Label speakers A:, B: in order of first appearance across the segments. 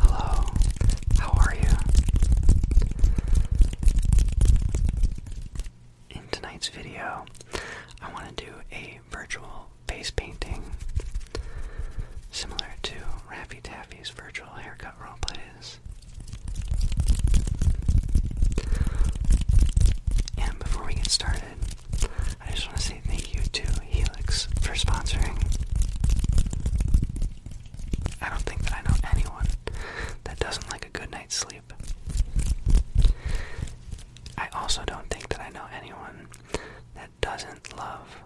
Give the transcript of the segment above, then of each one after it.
A: Hello, how are you? In tonight's video, I want to do a virtual face painting similar to Raffy Taffy's virtual haircut roleplays. And before we get started, I just want to say thank you to Helix for sponsoring. I don't think that I know anyone that doesn't like a good night's sleep. I also don't think that I know anyone that doesn't love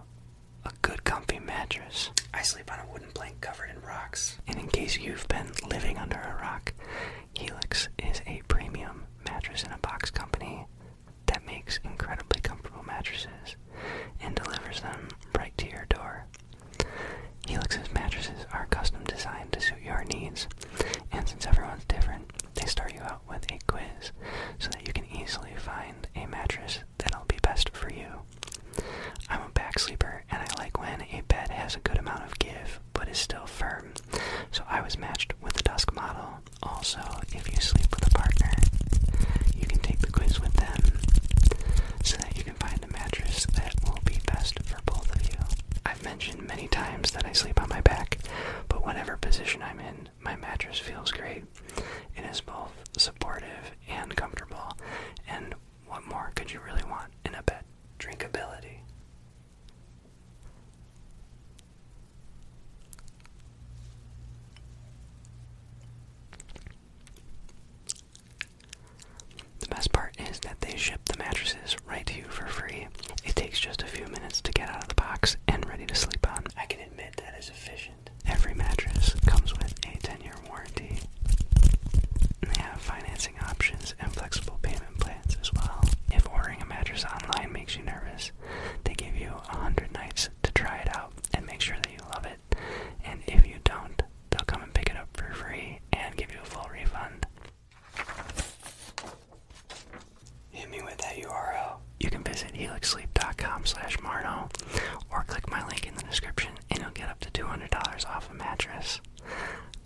A: a good comfy mattress. I sleep on a wooden plank covered in rocks. And in case you've been living under a rock, Helix is a premium mattress in a box company that makes incredibly comfortable mattresses and delivers them right to your door. Helix's mattresses are custom designed to suit your needs, and since everyone's different, they start you out with a quiz so that you can easily find a mattress that'll be best for you. I'm a back sleeper and I like when a bed has a good amount of give but is still firm, so I was matched with the Dusk model, also, if you sleep with a partner, you can take the quiz with them so that you can find a mattress that will be best for both of you. I've mentioned many times that I sleep on my back, but whatever position I'm in, my mattress feels great. It is both supportive and comfortable, and what more could you really want in a bed? Drinkability. The best part is that they ship the mattresses right to you for free. It takes just a few minutes to get out of the box and ready to sleep on. I can admit that is efficient. Every mattress comes with a 10 year warranty. they have financing options and flexible payment plans as well. If ordering a mattress online makes you nervous, they give you 100 nights to try it out and make sure that you love it. And if you don't, they'll come and pick it up for free and give you a full refund. Hit me with that URL. You can visit helixsleep.com slash Marno or click my link in the description and you'll get up to $200 off a mattress.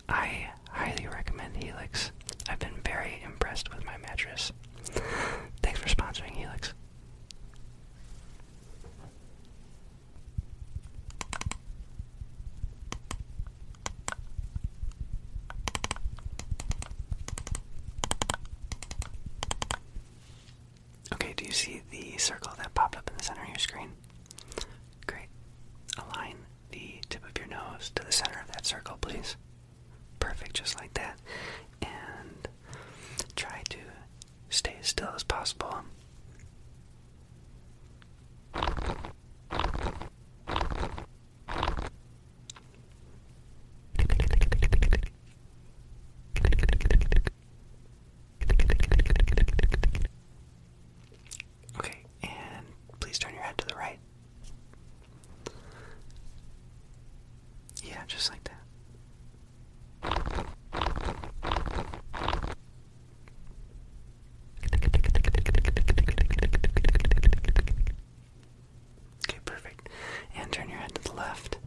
A: I highly recommend Helix. I've been very impressed with my mattress. Thanks for sponsoring Helix. Okay, do you see the circle that popped up in the center of your screen? Great. Align the tip of your nose to the center of that circle, please perfect just like that and try to stay as still as possible Okay, and please turn your head to the right. Yeah, just like that. Okay, perfect. And turn your head to the left.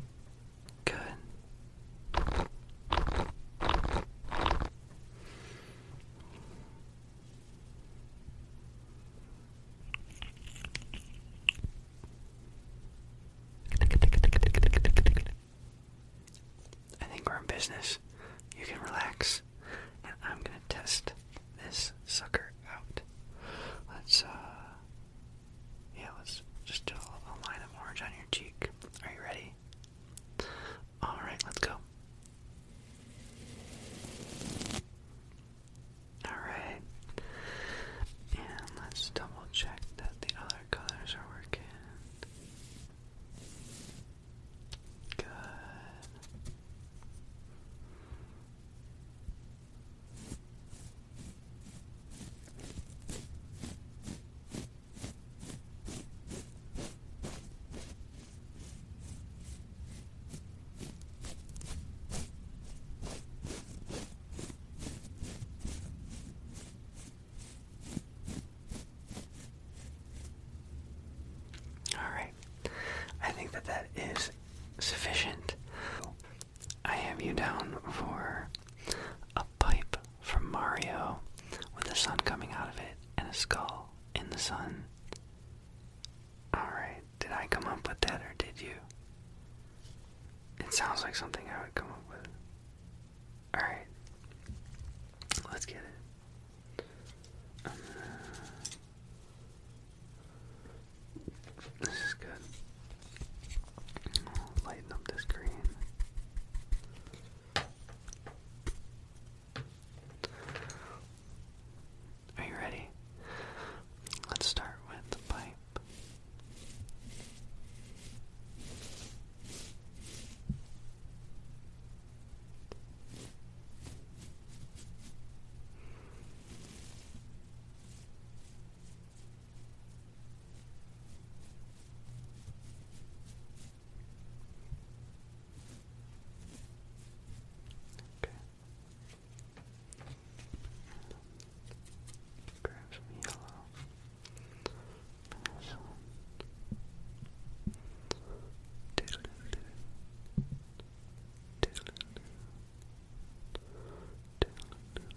A: Good. I think we're in business. You can relax. And I'm gonna test this sucker out. Let's, uh. Yeah, let's just do a line of orange on your cheek. Are you ready? Alright, let's go. Alright. And let's double check that the other colors are working. Good. All right. I think that that is sufficient. I have you down for a pipe from Mario with the sun coming out of it and a skull in the sun. All right. Did I come up with that or did you? It sounds like something I would come up with. Alright. Let's get it. Um, this is good. lighten up the screen. Are you ready? Let's start with the pipe. Okay. Grab some yellow. This one. Diddle -diddle. Diddle -diddle. Diddle -diddle. Diddle -diddle.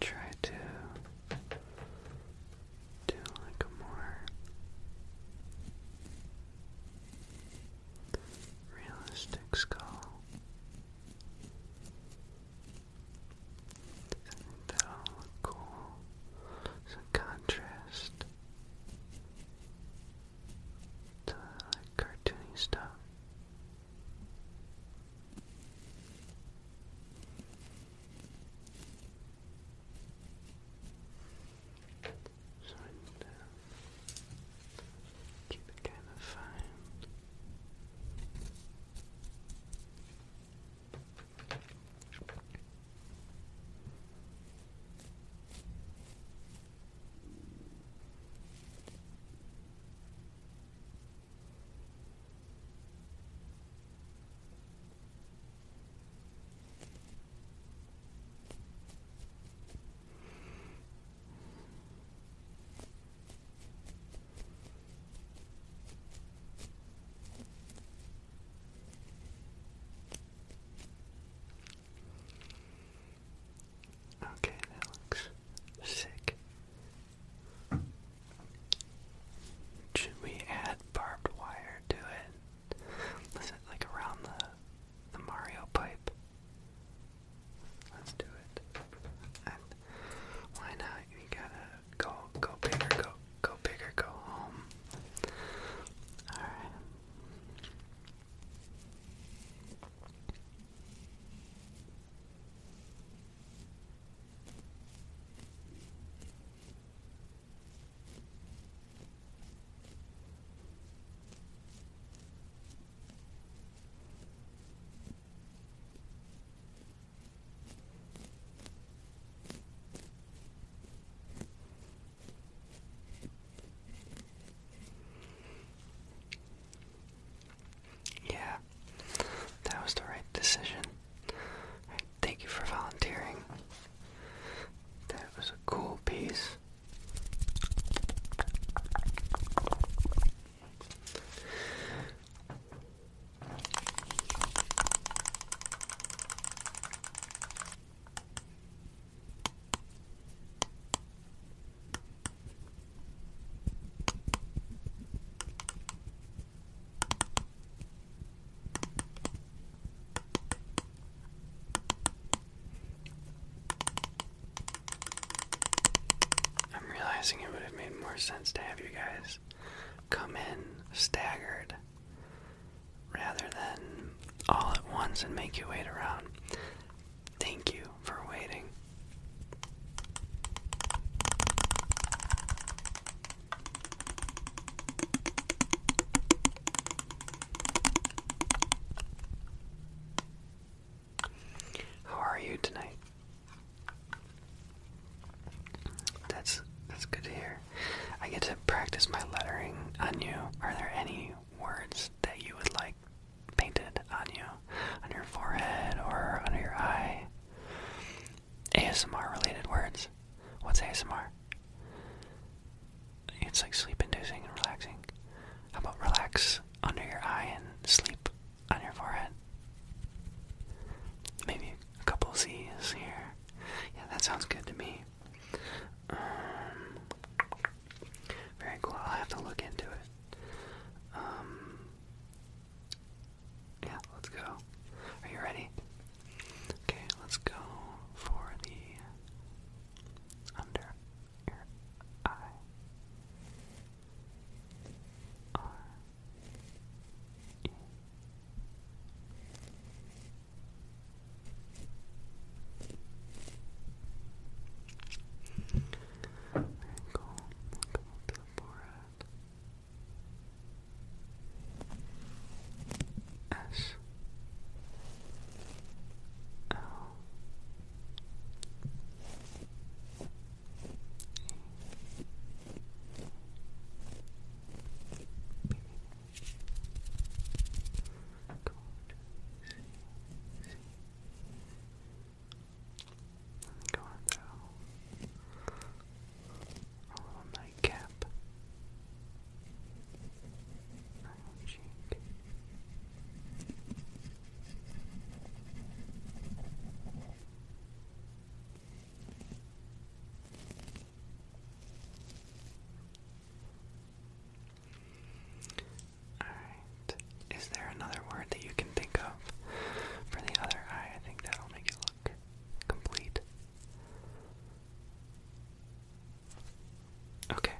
A: Try to do like a more realistic skull. I that look cool. It's contrast to like cartoony stuff. So and, keep it kind of fine. Okay, that looks sick. Should we add barbed wire to it? Is it like around the the Mario pipe? Let's do it. why not? You gotta go go bigger, go go bigger, go home. Alright. Yeah, that was the right decision. Thank you for volunteering. That was a cool piece. I'm realizing it would have made more sense to have you guys come in staggered rather than all at once and make you wait around. Thank you for waiting. How are you tonight? That's that's good to hear. I get to practice my lettering on you. Are there any words that you would like painted on you, on your forehead or under your eye? ASMR related words. What's ASMR? It's like sleep inducing and relaxing. How about relax under your eye and sleep on your forehead? Maybe a couple Z's here. Yeah, that sounds good to me. Um, very cool. i have to look into it. Um, yeah, let's go. Are you ready? Okay, let's go for the under your eye. R E very cool. to the forehead. S L Code going through a little nightcap on your cheek. Alright. Is there another word that you can think of for the other eye? I think that'll make it look complete. Okay.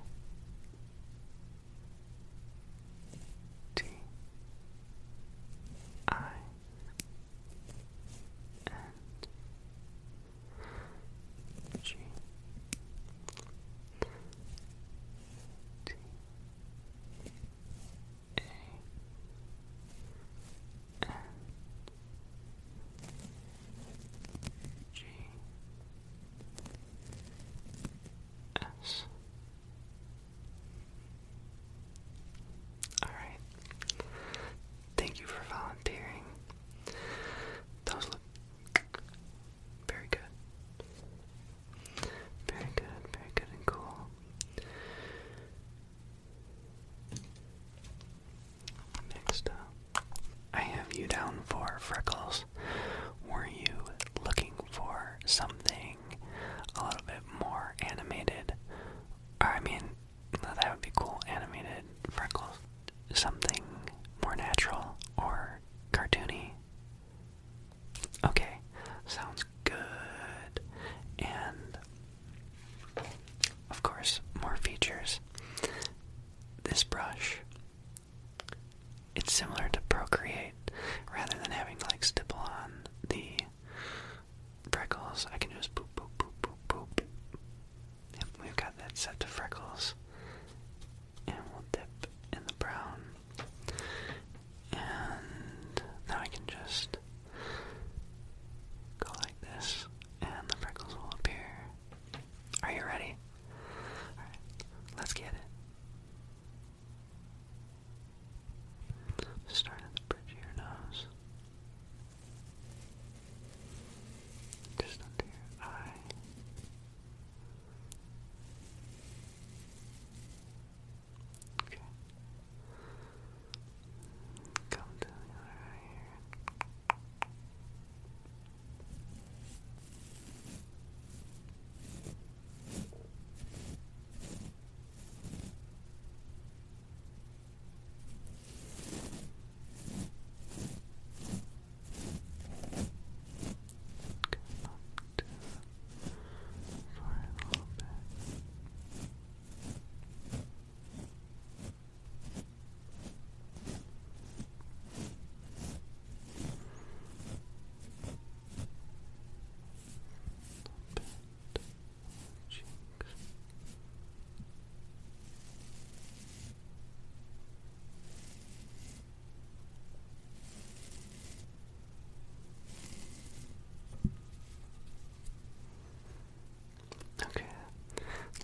A: T I a N G S. Alright. Thank you for volunteering. Those look very good. Very good, very good and cool. Next up, I have you down for freckles. Were you looking for something a little bit more animated? I mean, that would be cool, animated freckles. Something more natural or cartoony? Okay, sounds good, and of course, more features. This brush, it's similar to Procreate. Rather than having to like stipple on the freckles, I can just boop, boop, boop, boop, boop. Yep, we've got that set to freckles. And we'll dip in the brown. And now I can just go like this, and the freckles will appear. Are you ready? let's get it. Start at the bridge of your nose. Just under your eye. Okay. Come to the right here. Come up to for a little bit. Cheeks. Okay,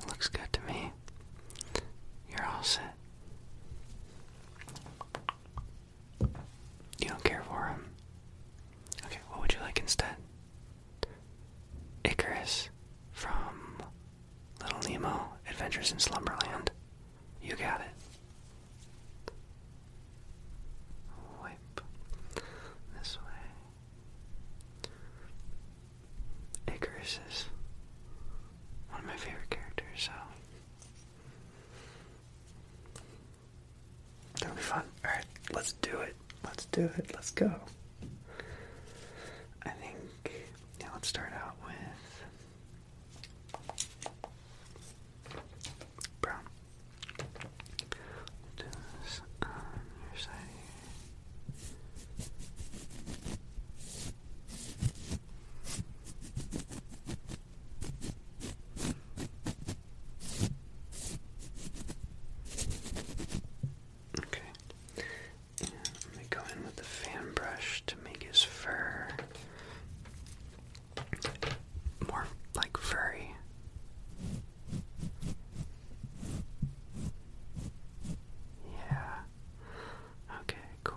A: looks good to me. You're all set. You don't care for him. Okay, what would you like instead? Icarus from Little Nemo Adventures in Slumberland. You got it. Wipe this way. Icarus is one of my favorite characters, that'll be fun. Alright, let's do it. Let's do it. Let's go. I think yeah, let's start out with brown. Do this um, Okay. let me go in with the fan brush to make his fur more like furry. Yeah. Okay, cool.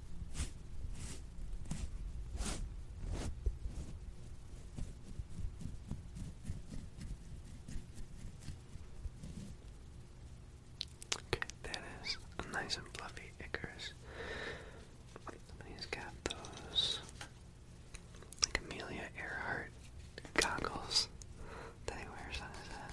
A: Okay, that is nice and fluffy icarus. Somebody's got those Amelia Earhart goggles that he wears on his head.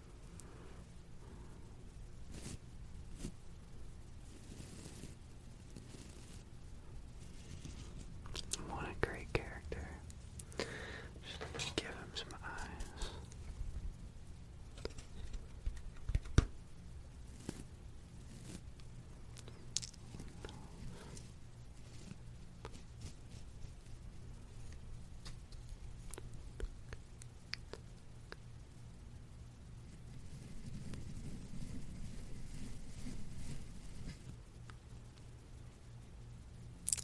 A: What a great character. Just give him some eyes.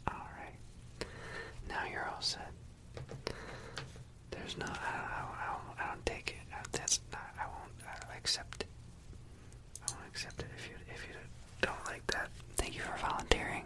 A: All right, now you're all set. There's no, I don't, I don't, I don't take it. I, that's not, I won't I don't accept it. I won't accept it if you, if you don't like that. Thank you for volunteering.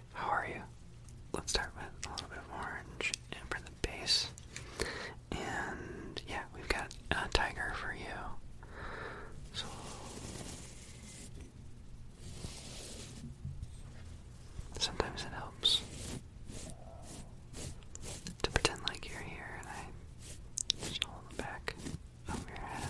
A: How are you? Let's start with a little bit of orange for the base. And yeah, we've got a tiger for you. So sometimes it helps to pretend like you're here and I just hold back of your head.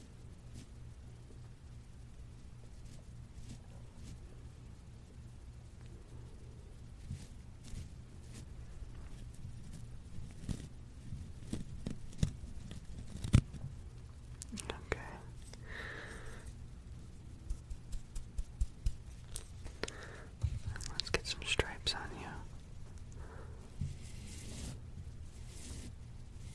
A: Okay. let's get some stripes on you.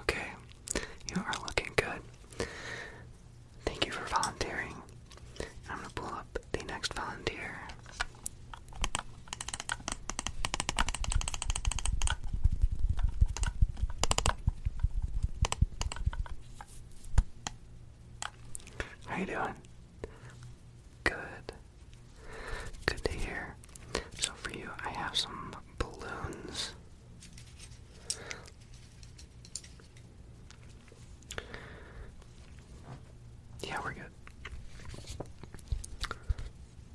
A: Okay, you are looking good. Thank you for volunteering. I'm going to pull up the next volunteer. How you doing? Good. Good to hear. So for you, I have some balloons. Yeah, we're good.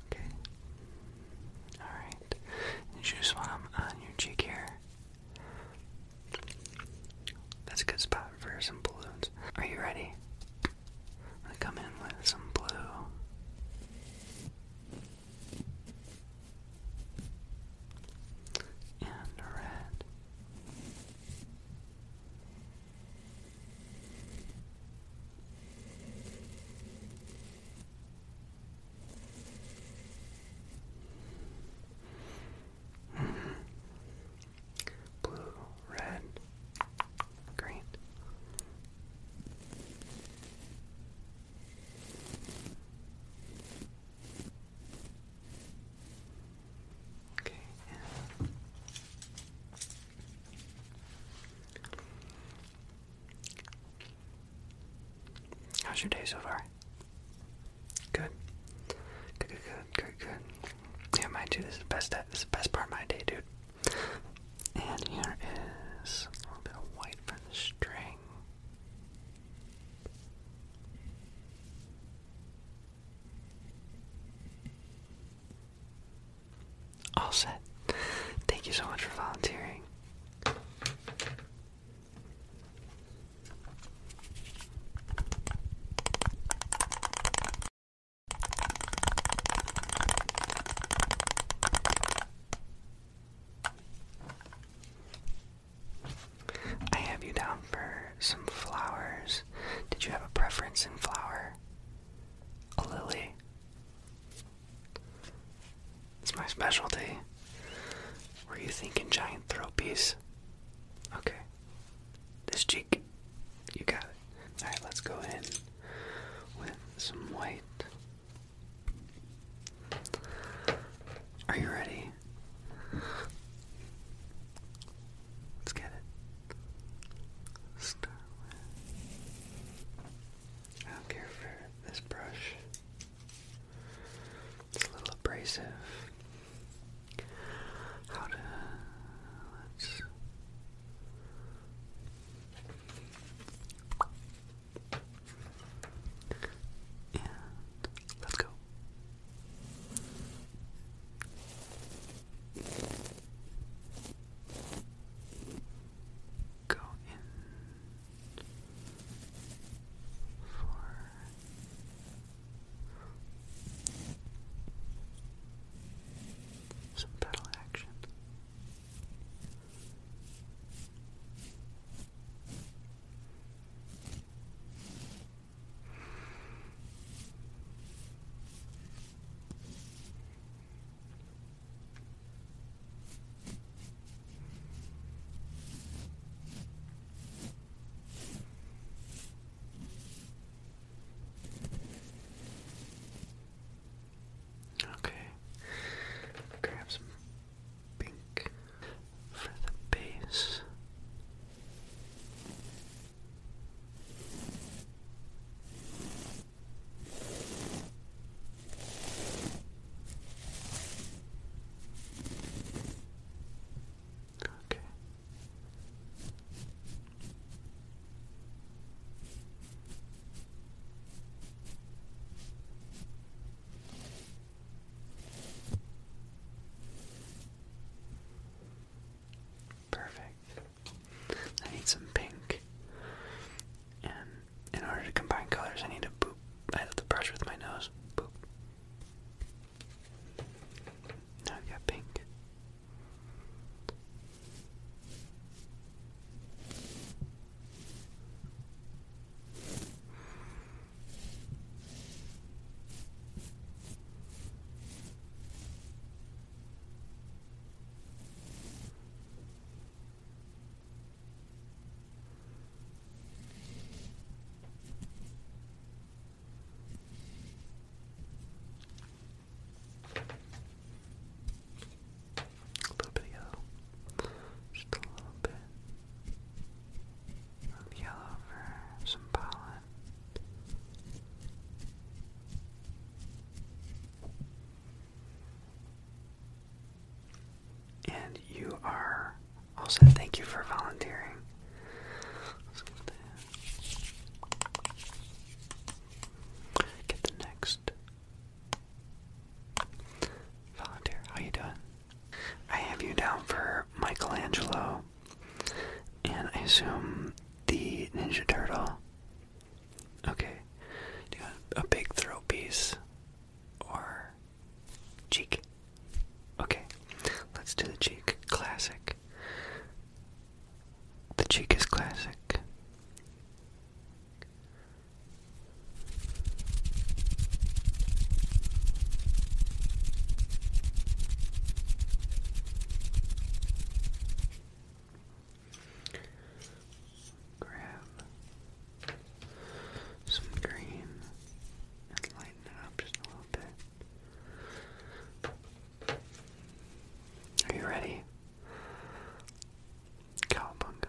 A: Okay. Alright. You just want them on your cheek here. That's a good spot for some balloons. Are you ready? i come in with some blue. And red. Mm -hmm. Blue, red, green. Okay, and how's your day so far? Good. Good, good, good, good, good. Yeah, mine too. This is the best. This is the best part of my day, dude. And here is a little bit of white for the string. All set. Thank you so much for volunteering. I have you down for some flowers. Did you have a preference in flower? A lily. It's my specialty. Were you thinking giant throw piece? Okay. This cheek. You got it. Alright, let's go in with some white. Are you ready? Let's get it. Start with. I don't care for this brush. It's a little abrasive. How to let's Let's go. Go in for some pedal action. Okay, grab some pink for the bass. Okay. Perfect. I need some pink. And in order to combine colors, I need to boop. I have to brush with my nose. Now I've got pink. A little bit Just a little bit yellow for some pollen. And you are also thank you for volunteering. Get the next volunteer. How you doing? I have you down for Michelangelo and I assume the Ninja Turtle. Okay. Do you want a big throat piece or cheek? Okay. Let's do the cheek. Classic. The cheek is classic. Grab some green and lighten it up just a little bit. Are you ready? Cowabunga.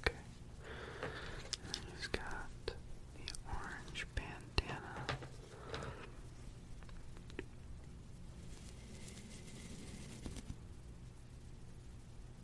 A: Okay. And he's got the orange bandana.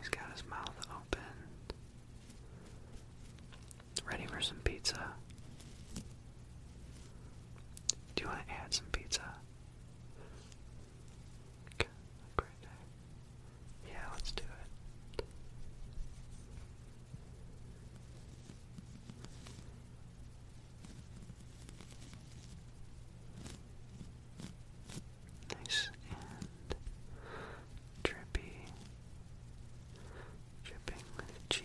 A: He's got his mouth open. Ready for some pizza. Do you want to add some pizza? Yeah, let's do it. Nice and drippy, dripping cheese.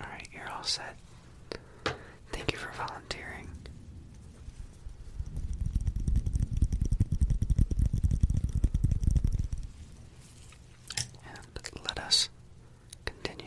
A: Alright, you're all set. Thank you for volunteering and let us continue.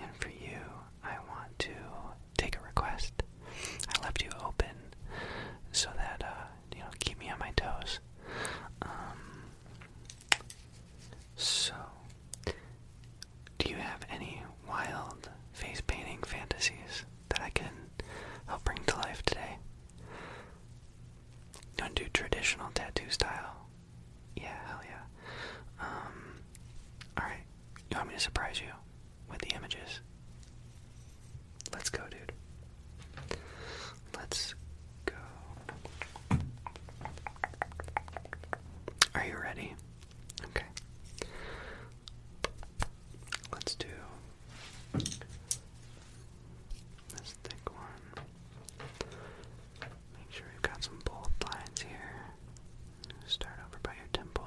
A: And for you, I want to take a request. I left you open so that, uh, you know, keep me on my toes. Um, so, do you have any wild face painting fantasies that I can help bring to life today? You want to do traditional tattoo style? Yeah, hell yeah. Um, alright. You want me to surprise you with the images? Let's go, dude. Let's go. Are you ready? Okay. Let's do this thick one. Make sure you've got some bold lines here. Start over by your temple.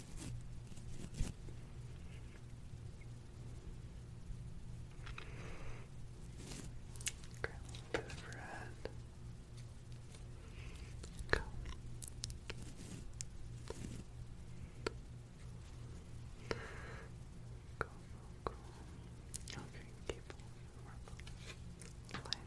A: Okay, a bit of Okay, keep moving. Lighten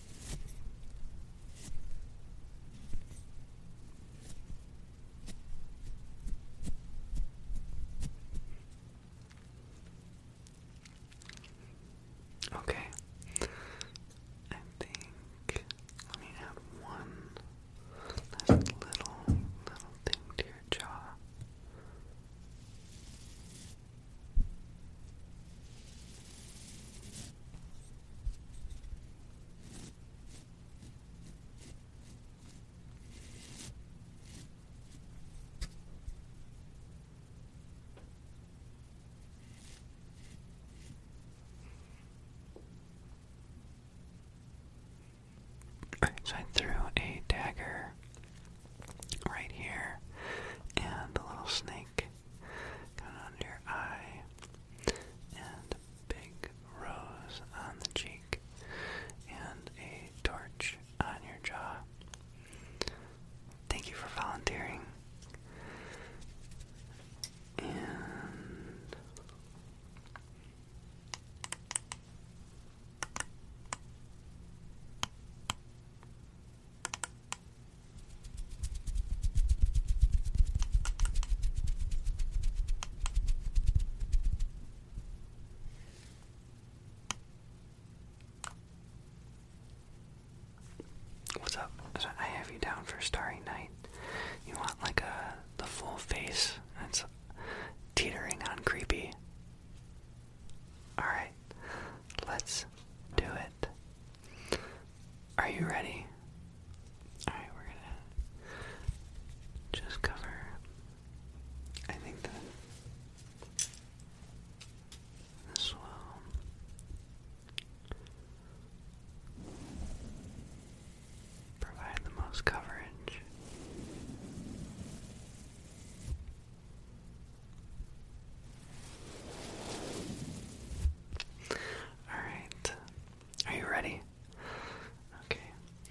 A: Okay. I think let me add one little little thing to your jaw. So I threw a dagger right here, and the little snake coming under your eye, and a big rose on the cheek, and a torch on your jaw. Thank you for volunteering. And What's up? I have you down for Starry Night. You want like a the full face. It's teetering on creepy. All right. Let's do it. Are you ready? Alright, we're gonna just cover. I think that this will. Provide the most coverage. Alright. Are you ready? Okay.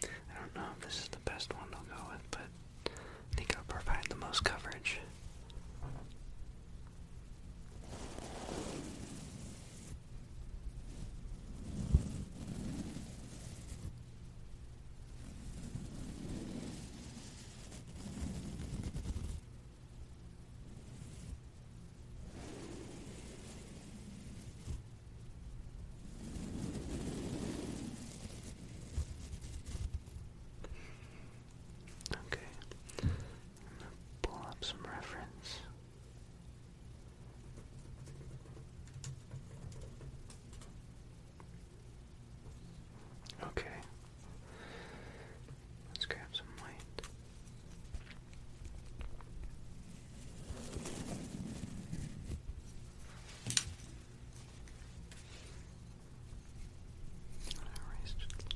A: I don't know if this is the best one i go with, but I think it'll provide the most coverage. Okay, I'm gonna pull up some reference. Okay, Let's grab some white. erase just a little bit.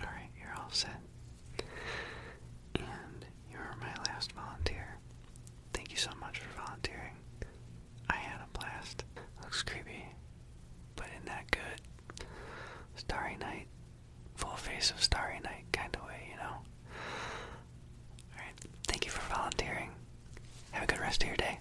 A: Alright, you're all set. And you're my last volunteer. Thank you so much for volunteering. I had a blast. Looks creepy, but in that good? Starry night, full face of starry night kind of way, you know? Alright, thank you for volunteering. Have a good rest of your day.